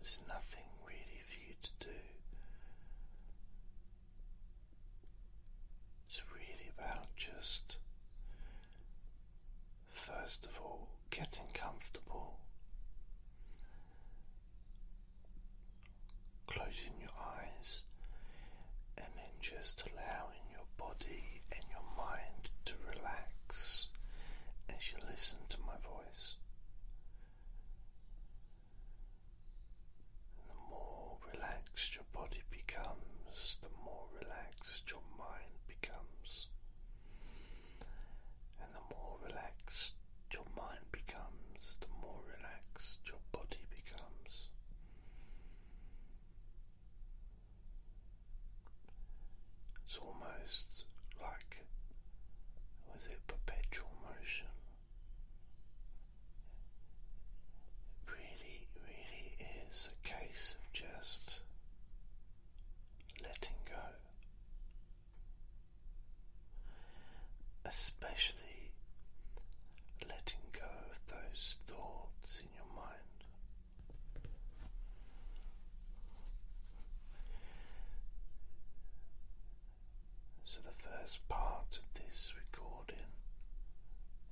There's nothing really for you to do. It's really about just, first of all, getting comfortable, closing your eyes, and then just allowing your body and your mind to relax as you listen to my voice. The more relaxed your body becomes, the more relaxed your mind becomes. And the more relaxed your mind becomes, the more relaxed your body becomes. It's almost like was it perpetual motion? It really, really is a case of just letting go. Especially letting go of those thoughts in your mind. So, the first part of this recording,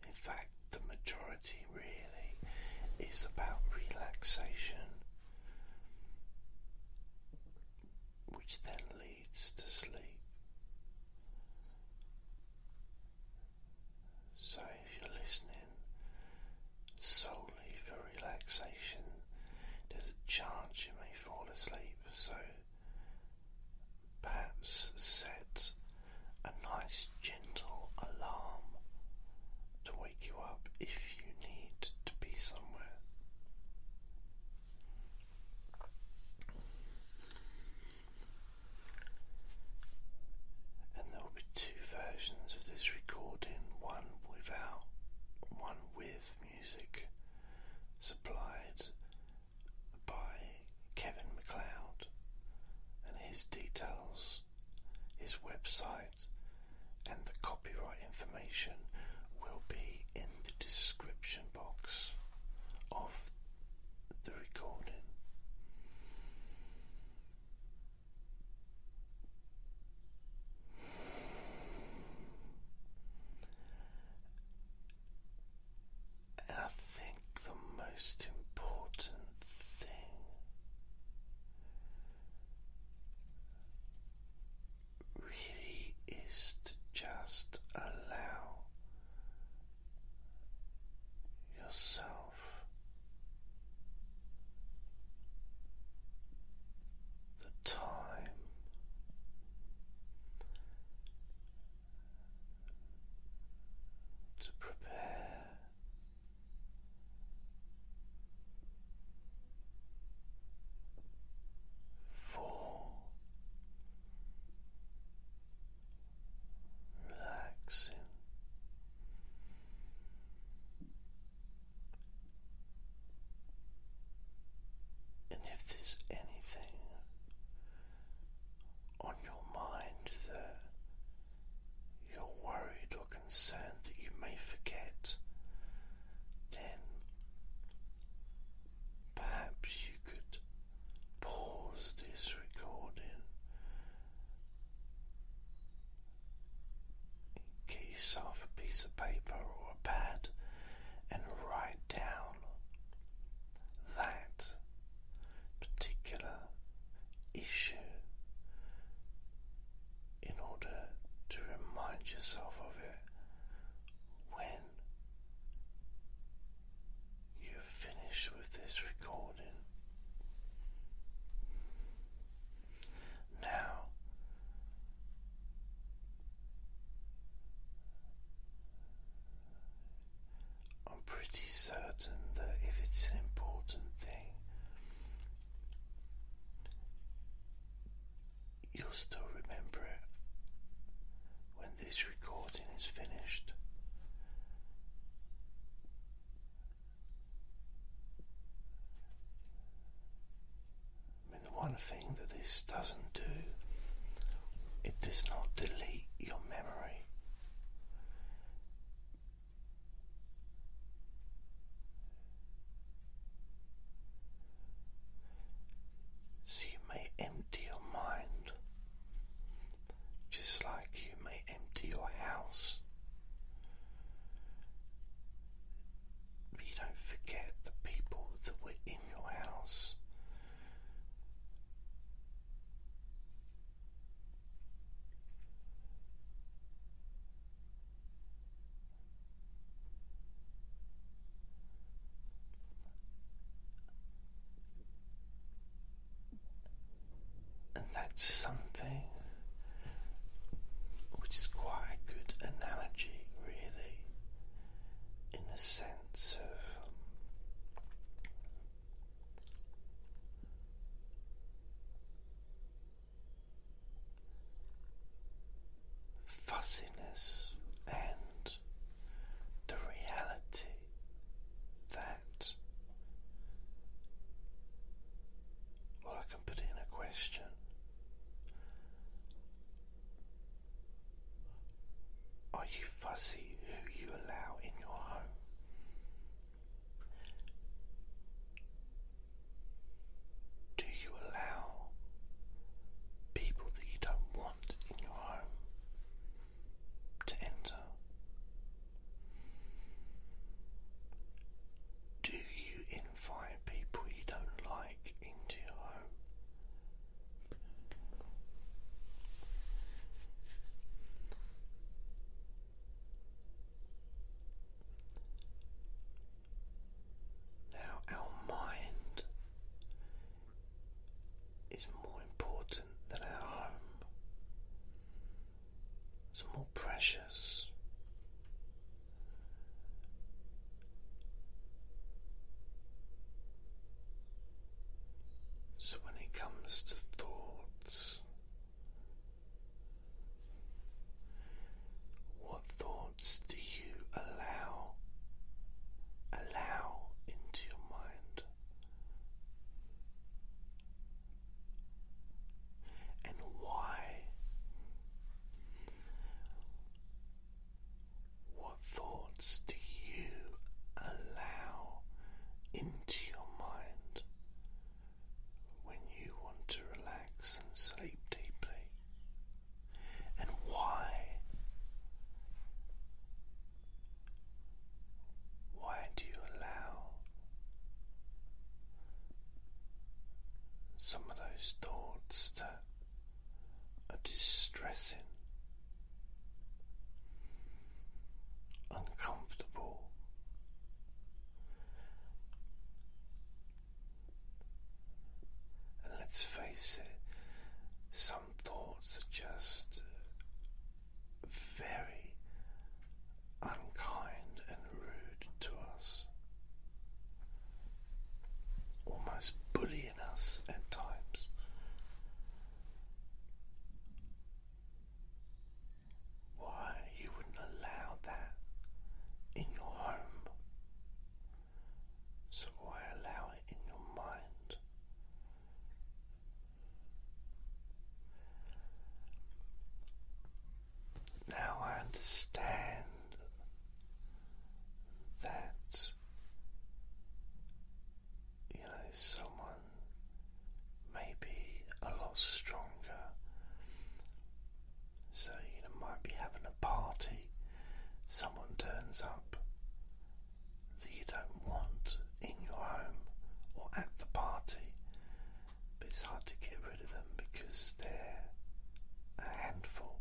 in fact, the majority really is about relaxation, which then leads to sleep. So, if you're listening solely for relaxation. There's a chance you may fall asleep, so perhaps set a nice gentle alarm to wake you up if you need to be somewhere. And there will be two versions of this recording one without, one with music supplied by Kevin McLeod and his details, his website, and the copyright information will be in the description box of the recording. I think the most important thing really is to just allow yourself the time to prepare. For relaxing and if there's anything on your mind that you're worried or concerned that you may forget, then perhaps you could pause this recording Get yourself a piece of paper or a pad and write down that particular issue in order to remind yourself of it when you're finished with this recording. Now, I'm pretty certain that if it's an important thing, you'll still remember it when this recording is finished. I mean, the one thing that this doesn't do, it does not delete your memory. So you may empty your mind, just like you may empty your house you don't forget the people that were in your house. And that's something which is quite a good analogy, really, in the sense of. Fussiness and the reality that, I can put in a question. Are you fussy who you allow in your home? Do you allow people that you don't want in your home to enter? Do you invite people you don't like into your home? Now, our mind is more important than our home. It's more precious. So, when it comes to thoughts, what thoughts do you allow allow into your mind? and why? What thoughts do you allow into your mind when you want to relax and sleep deeply? And why? Why do you allow some of those thoughts that are distressing, uncomfortable. And let's face it, some thoughts are just very unkind and rude to us, almost bullying us at times. Why you wouldn't allow that in your home? So, why allow it in your mind? Now I understand that you know someone may be a lot stronger. So you might be having a party. Someone turns up that you don't want in your home or at the party, but it's hard to get rid of them because they're a handful.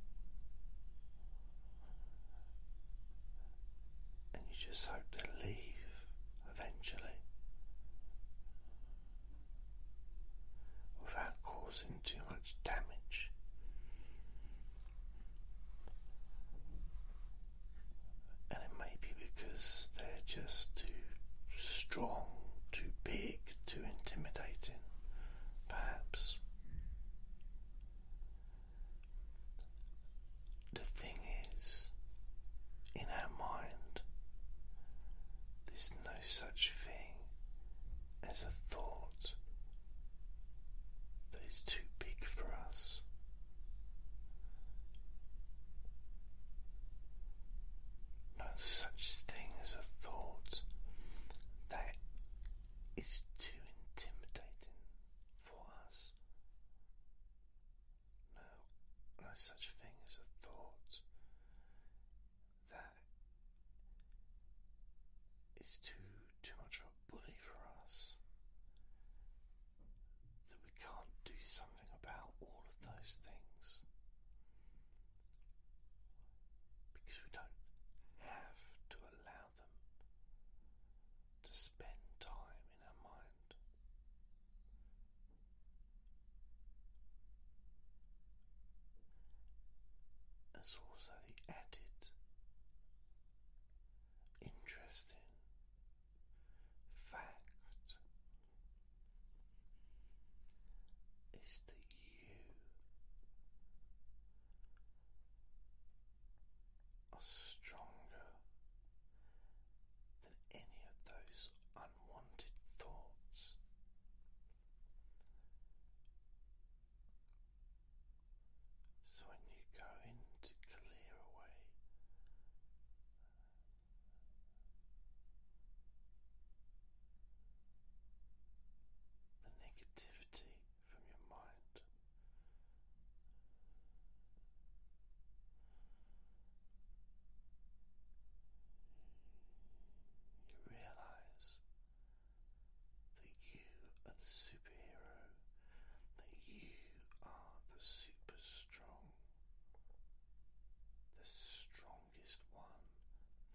And you just hope they leave eventually without causing too much damage. And it maybe because they're just too strong, too big, too intimidating, perhaps. The thing is, in our mind, there's no such thing as a thought that is too big for us no such thing as a thought. That is too intimidating for us. No, no such thing as a thought. That is too too much of a bully for us that we can't do something about all of those things because we don't have to allow them to spend time in our mind. There's also the added interest in fact is that you are stronger than any of those unwanted thoughts. So when you go in to clear away the negativity from your mind. You realize that you are the superhero, that you are the super strong, the strongest one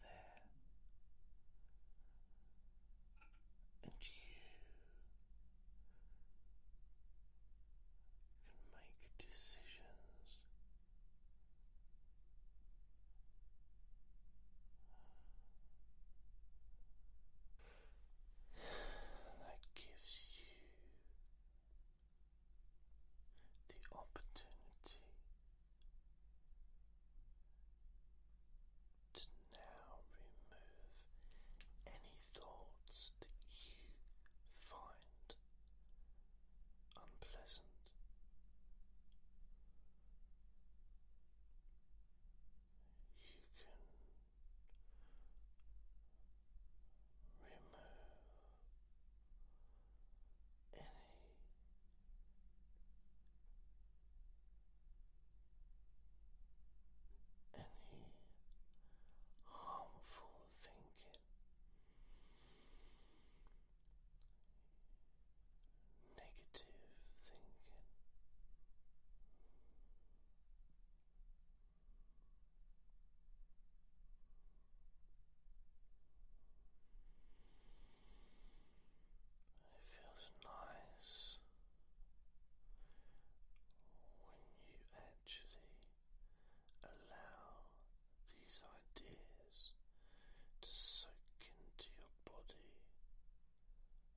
there, and you can make decisions. That gives you the opportunity to now remove any thoughts that you find unpleasant. You can remove any any harmful thinking negative thinking it feels nice when you actually allow these ideas to soak into your body,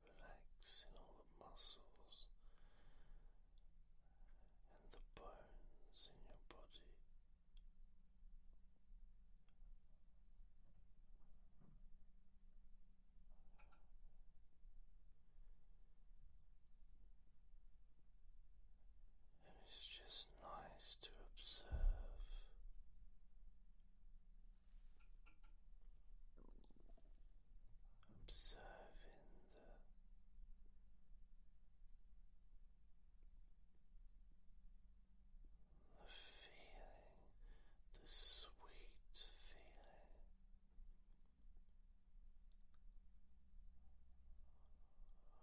relax in all the muscles and the bones in your body. it's just nice to observe. Observing the feeling, the sweet feeling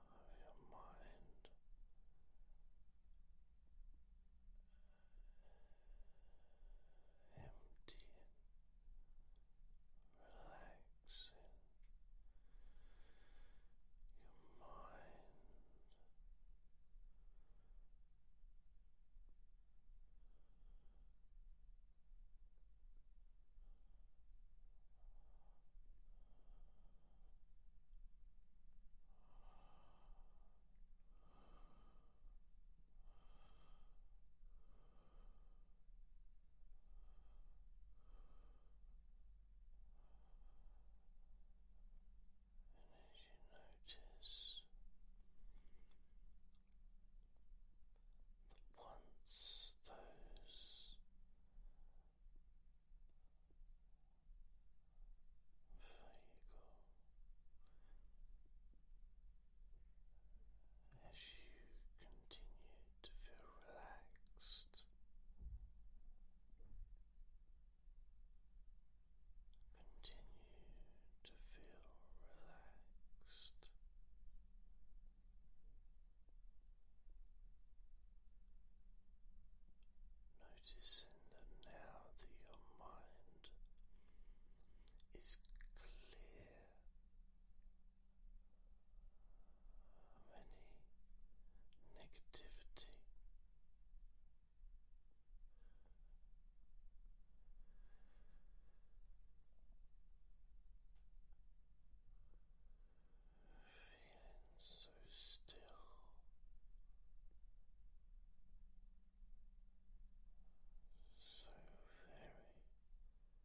of your mind emptying, relaxing relaxing your mind. Your as you notice once those vagal as you continue to feel relaxed continue to feel relaxed noticing that now that your mind is clear of any negativity. Feeling so still. So very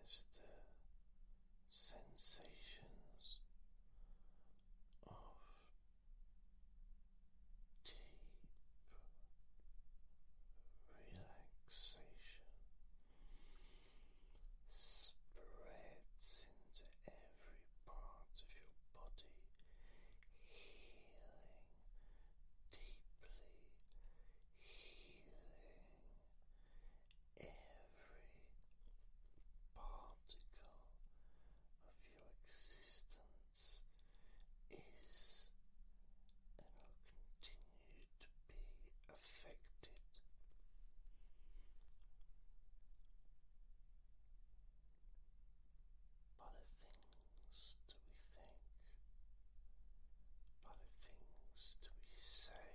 as the sensations of deep relaxation spreads into every part of your body healing, deeply healing every particle of your existence is and will continue to be affected by the things that we think, by the things that we say.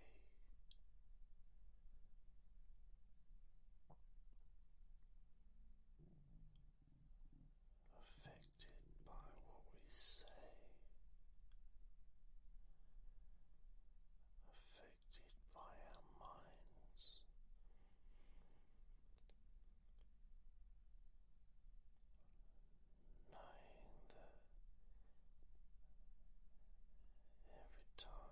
Affected by what we say, affected by our minds, knowing that every time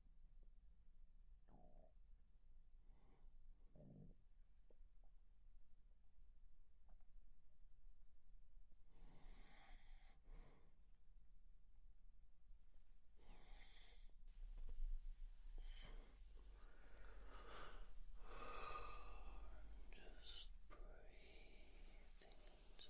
Just breathing into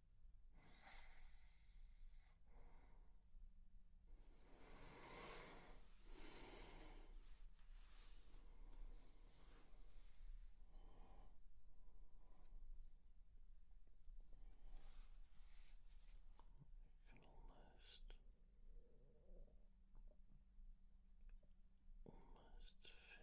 You can almost, almost feel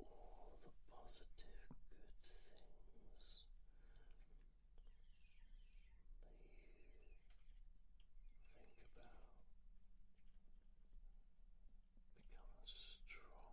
all the positive good things that you think about become stronger, stronger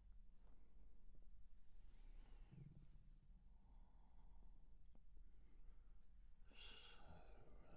Always moving forward.